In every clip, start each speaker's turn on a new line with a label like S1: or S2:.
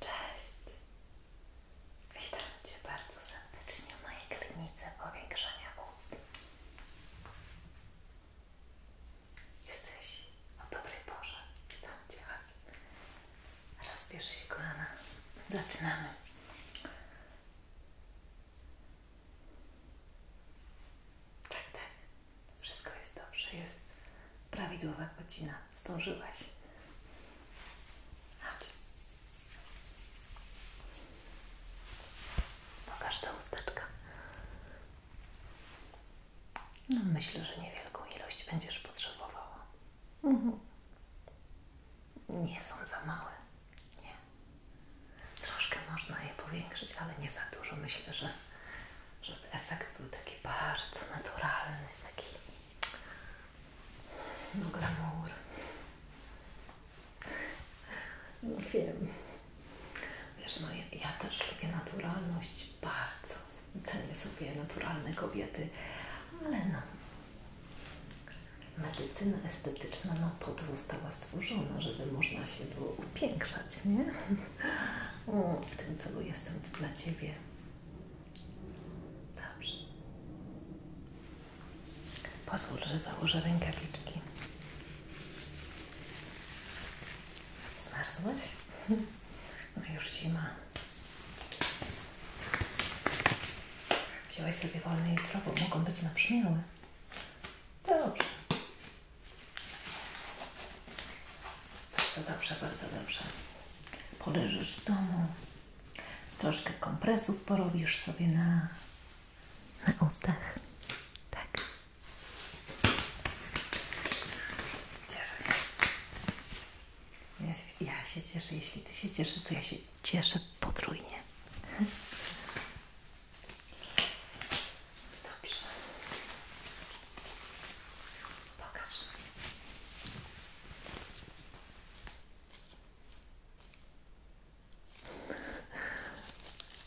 S1: Cześć! Witam Cię bardzo serdecznie w mojej klinice powiększania ust. Jesteś o dobrej porze. Witam Cię, chodź. Rozbierz się, kochana. Zaczynamy. Tak, tak. Wszystko jest dobrze. Jest Prawidłowa godzina. Zdążyłaś. Chodź. Pokaż tę No, myślę, że niewielką ilość będziesz potrzebowała. Mhm. Nie są za małe. Nie. Troszkę można je powiększyć, ale nie za dużo. Myślę, że żeby efekt był taki bardzo naturalny, taki no glamour. No wiem. Wiesz, no ja, też lubię naturalność bardzo. Cenię sobie naturalne kobiety, ale no. Medycyna estetyczna no po to została stworzona, żeby można się było upiększać, nie? O, w tym celu jestem tu dla Ciebie. Dobrze. Posłuchaj, że założę rękawiczki. Zmarzłeś? No już zima. Wziąłeś sobie wolne jutro, bo mogą być nabrzmiałe. Dobrze. Bardzo dobrze, bardzo dobrze poleżysz w domu, troszkę kompresów porobisz sobie na, na ustach. Tak. Cieszę się. Ja, się. ja się cieszę. Jeśli ty się cieszy, to ja się cieszę potrójnie. Dobrze. Pokaż.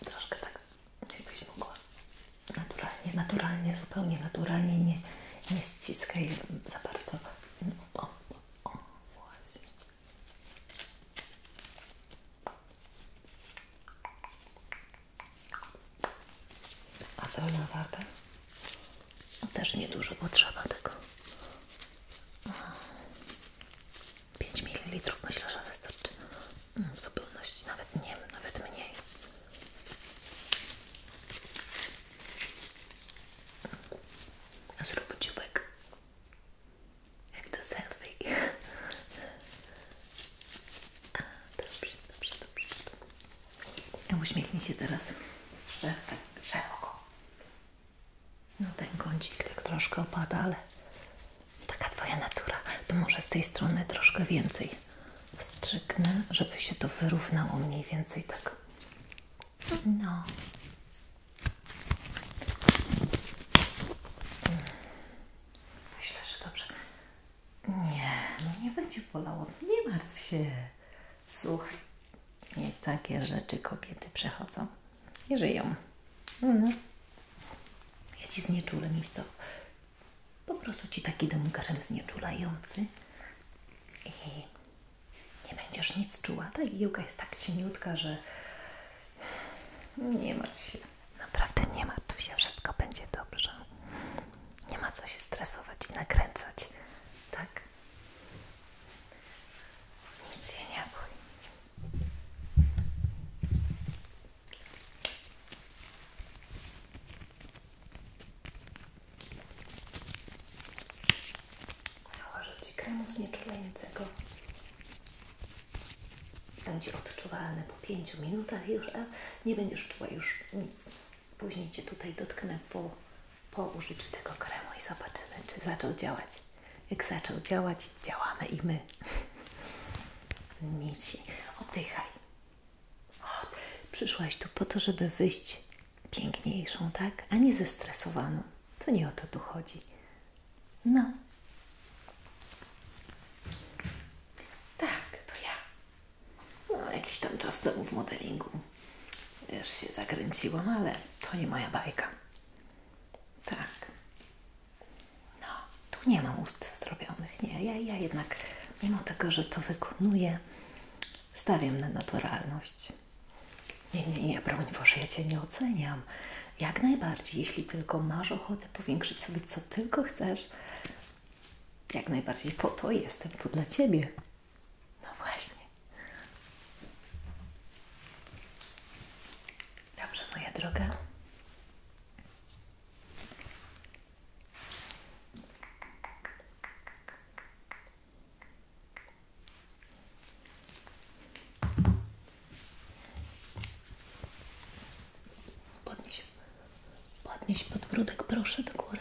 S1: Troszkę tak, jakbyś mogła. Naturalnie, naturalnie, zupełnie naturalnie, nie, nie ściskaj za bardzo. A pełna waga? No też niedużo potrzeba tego. 5 ml myślę, że wystarczy mm, w zupełności, nawet nie nawet mniej. Zrób dziubek. Jak do selfie. Dobrze, dobrze, dobrze. Uśmiechnij się teraz tak szeroko. No ten kącik tak troszkę opada, ale taka Twoja natura. To może z tej strony troszkę więcej wstrzyknę, żeby się to wyrównało mniej więcej tak. No. Hmm. Myślę, że dobrze. Nie, no nie będzie bolało. Nie martw się. Słuchaj, takie rzeczy kobiety przechodzą i żyją. No, no. Ja ci znieczulę miejsce. Po prostu ci taki domkarem znieczulający i nie będziesz nic czuła. Ta igiełka jest tak cieniutka, że nie martw się. Naprawdę nie martw się, wszystko będzie dobrze. Nie ma co się stresować i nakręcać, tak? Nic się nie bój. Nałożę Ci kremu znieczulającego. Będzie odczuwalny po 5 minutach już, a nie będziesz czuła już nic. Później Cię tutaj dotknę po, po użyciu tego kremu i zobaczymy, czy zaczął działać. Jak zaczął działać, działamy i my. Nici. Oddychaj. przyszłaś tu po to, żeby wyjść piękniejszą, tak? A nie zestresowaną. To nie o to tu chodzi. No. Tak, to ja no, jakiś tam czas temu w modelingu też się zakręciłam, ale to nie moja bajka. Tak. No, tu nie mam ust zrobionych, nie. Ja, ja jednak, mimo tego, że to wykonuję, stawiam na naturalność. Nie, nie, nie, broń Boże, ja Cię nie oceniam. Jak najbardziej, jeśli tylko masz ochotę powiększyć sobie co tylko chcesz, jak najbardziej po to jestem tu dla Ciebie. No właśnie. Dobrze, moja droga. Podnieś, podnieś podbródek, proszę, do góry.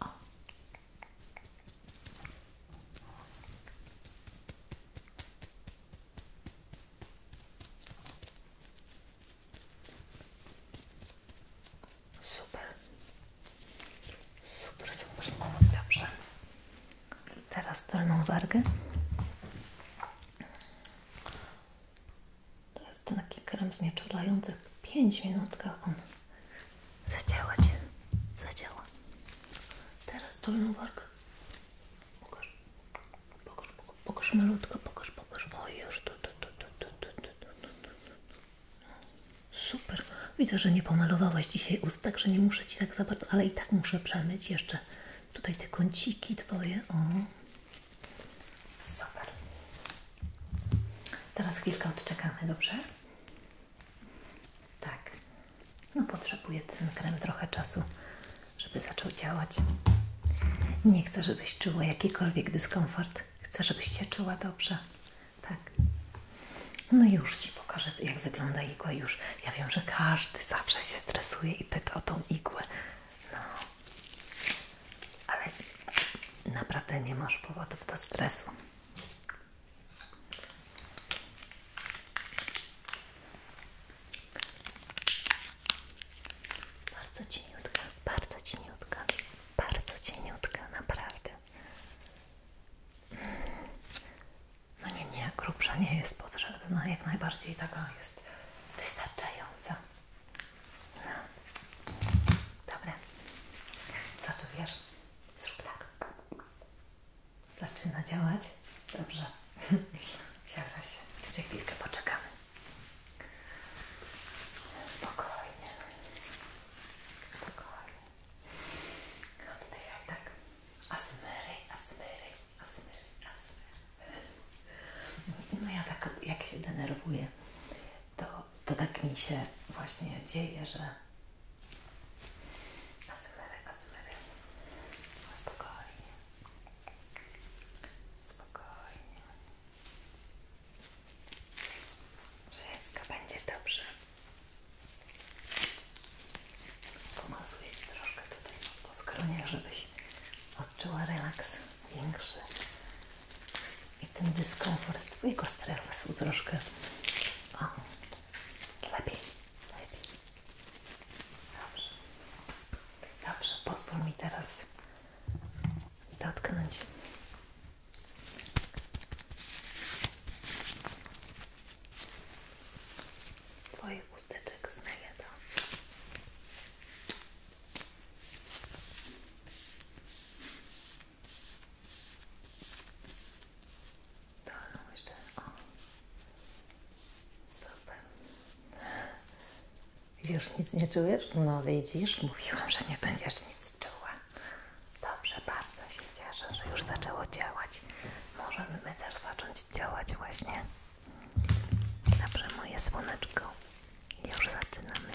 S1: O. Super, super, super. Dobrze. Teraz dolną wargę. To jest taki krem znieczulający. 5 minutkach on zadziała Cię. Zadziała. Teraz dolną wargę. Pokaż. Pokaż, pokaż, pokaż malutko. Pokaż, pokaż. O, już. Tu, tu, tu, tu, tu, tu, tu, Super. Widzę, że nie pomalowałaś dzisiaj ust, że nie muszę Ci tak za bardzo, ale i tak muszę przemyć jeszcze tutaj te kąciki Twoje. O, Super. Teraz chwilkę odczekamy, dobrze? Tak. No potrzebuje ten krem trochę czasu, żeby zaczął działać. Nie chcę, żebyś czuła jakikolwiek dyskomfort. Chcę, żebyś się czuła dobrze. Tak. No już Ci pokażę, jak wygląda igła już. Ja wiem, że każdy zawsze się stresuje i pyta o tą igłę. No, ale naprawdę nie masz powodów do stresu. Bardzo cieniutka, bardzo cieniutka, bardzo cieniutka, naprawdę. No nie, nie, grubsza nie jest potrzebna, jak najbardziej taka jest wystarczająca. No. Dobra. Co tu wiesz? Zrób tak. Zaczyna działać. Dobrze. Siarza się. Jeszcze chwilkę poczekamy. Spokojnie. Spokojnie. Oddychaj tak. Asmyry, asmyry, asmyry, asmyry. No ja tak, jak się denerwuję, to to tak mi się właśnie dzieje, że asmery, asmery, no spokojnie, spokojnie, wszystko będzie dobrze. Pomasuję Ci troszkę tutaj po skronie, żebyś odczuła relaks większy. I ten dyskomfort Twojego stresu troszkę lepiej, lepiej. Dobrze. Dobrze, pozwól mi teraz dotknąć Twoich usteczek z meliadą. Dolną tak, no jeszcze, super. Już nic nie czujesz? No widzisz, mówiłam, że nie będziesz nic czuła. Dobrze, bardzo się cieszę, że już zaczęło działać. Możemy my też zacząć działać właśnie. Dobrze, moje słoneczko. Już zaczynamy.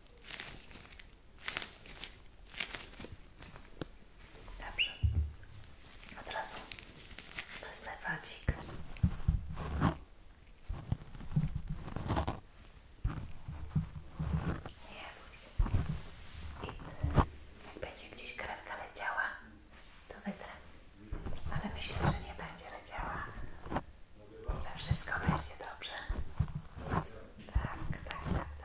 S1: Dobrze. Od razu wezmę wacik. Nie bój się. I jak będzie gdzieś krewka leciała, to wytrę. Ale myślę, że nie będzie leciała. Że wszystko będzie dobrze. Tak, tak, tak, tak.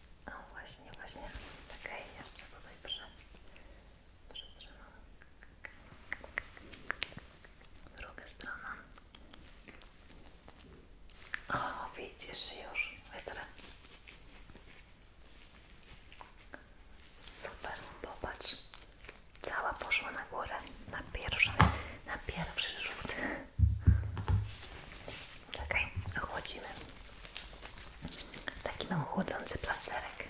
S1: O właśnie, właśnie. Czekaj, jeszcze tutaj prze, przetrzymam. Druga strona. O, widzisz już, wytrę. Super, popatrz. Cała poszła na górę. Na pierwszy, na pierwszy rzut. Czekaj, ochłodzimy. Taki mam chłodzący plasterek.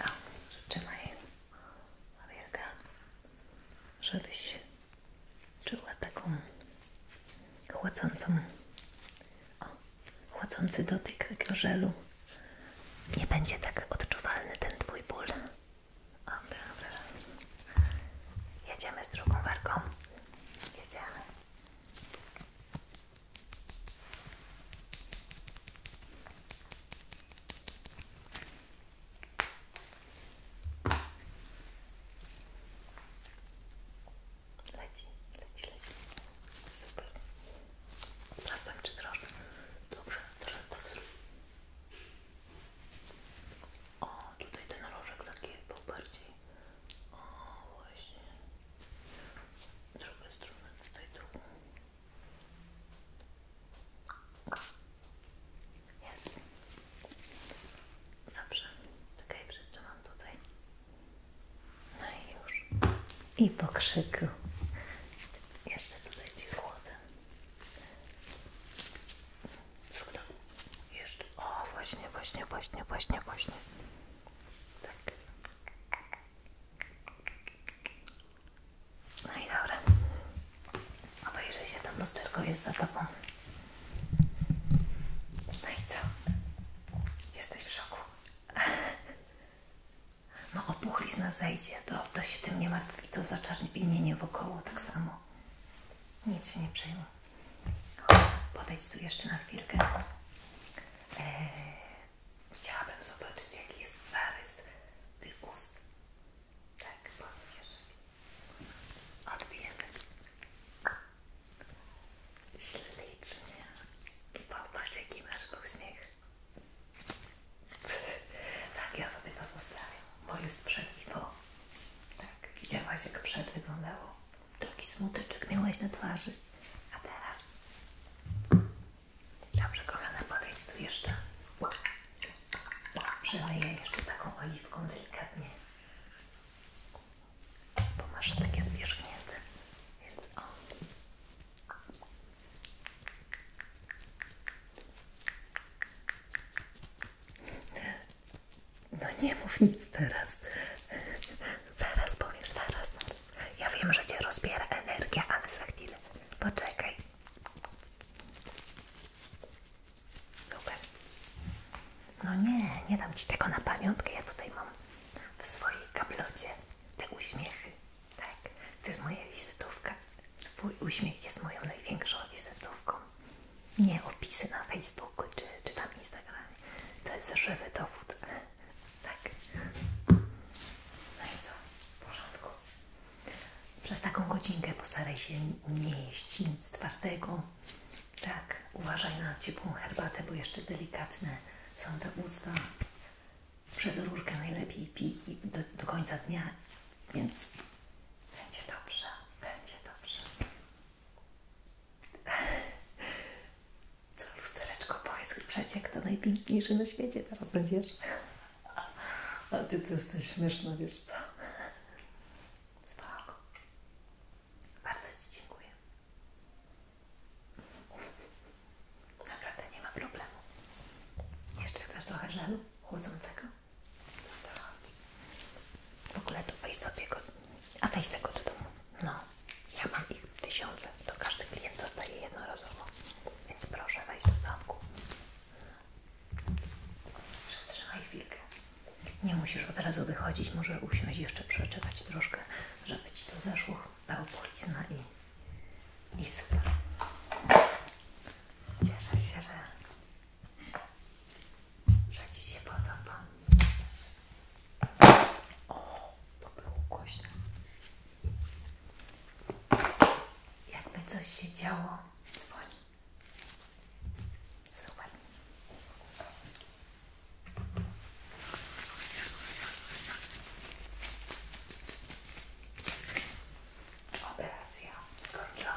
S1: O, trzymaj Wielka, żebyś czuła taką chłodzącą, o, chłodzący dotyk tego żelu. Nie będzie tak odczuwalny ten Twój ból. O, dobra. Jedziemy z drugą warką. Jedziemy. Leci, leci, leci. Super. Sprawdzam, czy drożdże. Dobrze, teraz tak zrobię. O, tutaj ten rożek taki był bardziej o, właśnie. Druga strona, tutaj drugą. Jest. Dobrze. Czekaj, przytrzymam tutaj. No i już. I pokrzyku. Jeszcze tutaj ci schłodzę. Zrób to. Jeszcze. O, właśnie, właśnie, właśnie, właśnie, właśnie. Tak. No i dobra. Obejrzyj się, tam lusterko jest za tobą. No i co? Jesteś w szoku. No opuchlizna zejdzie, to, to się tym nie martwi, to zaczerwienienie wokoło tak samo. Nic się nie przejmuj. Podejdź tu jeszcze na chwilkę. E, chciałabym zobaczyć, jaki jest zarys tych ust. Tak, podejdź jeszcze. Odbijemy. Ślicznie. Popatrz, jaki masz uśmiech. tak, ja sobie to zostawiam, bo jest przed i po. Tak, widziałaś, jak przed wyglądało. Taki smuteczek miałeś na twarzy. A teraz? Dobrze, kochana, podejdź tu jeszcze. Przemyję jeszcze taką oliwką delikatnie. Bo masz takie zwierzchnięte. Więc o. No nie mów nic teraz. Zaraz powiesz, zaraz, Ja wiem, że Cię rozbiera energię, ale za chwilę. Poczekaj. Super. No nie, nie dam Ci tego na pamiątkę. Ja tutaj mam w swojej kablocie te uśmiechy. Tak, to jest moja wizytówka. Twój uśmiech jest moją największą wizytówką. Nie opisy na Facebooku czy, czy tam Instagramie. To jest żywy dowód tak. No i co? W porządku. Przez taką godzinkę postaraj się nie jeść twardego. Tak, uważaj na ciepłą herbatę, bo jeszcze delikatne są te usta. Przez rurkę najlepiej pij do końca dnia, więc będzie dobrze, będzie dobrze. Co, lustereczko, powiedz jak to najpiękniejszy na świecie teraz będziesz. A ty, ty jesteś śmieszna, wiesz co? Spoko. Bardzo Ci dziękuję. Naprawdę nie ma problemu. Jeszcze chcesz trochę żelu chłodzącego? No to chodź. W ogóle to weź sobie a weź do domu. No, ja mam ich tysiące, to każdy klient dostaje jednorazowo, więc proszę wejść do domku. Przetrzymaj chwilkę. Nie musisz od razu wychodzić, możesz usiąść jeszcze przeczytać troszkę, żeby Ci to zeszło, ta opolizna i, i super. Cieszę się, że, że Ci się podoba. O, to było głośno. Jakby coś się działo, dzwoni. Super. Operacja skończona.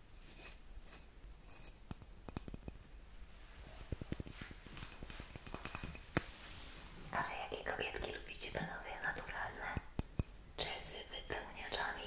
S1: Ale jakie kobietki lubicie panowie? Naturalne czy z wypełniaczami?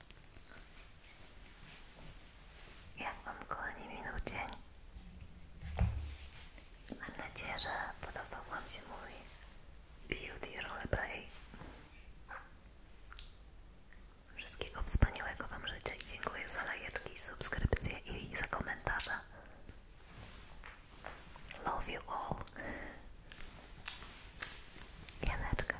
S1: Jak Wam kochani minął Mam nadzieję, że podobał Wam się mój beauty roleplay. Wszystkiego wspaniałego Wam życzę i dziękuję za lajeczki, subskrypcje i za komentarze. Love you all. I Janeczka,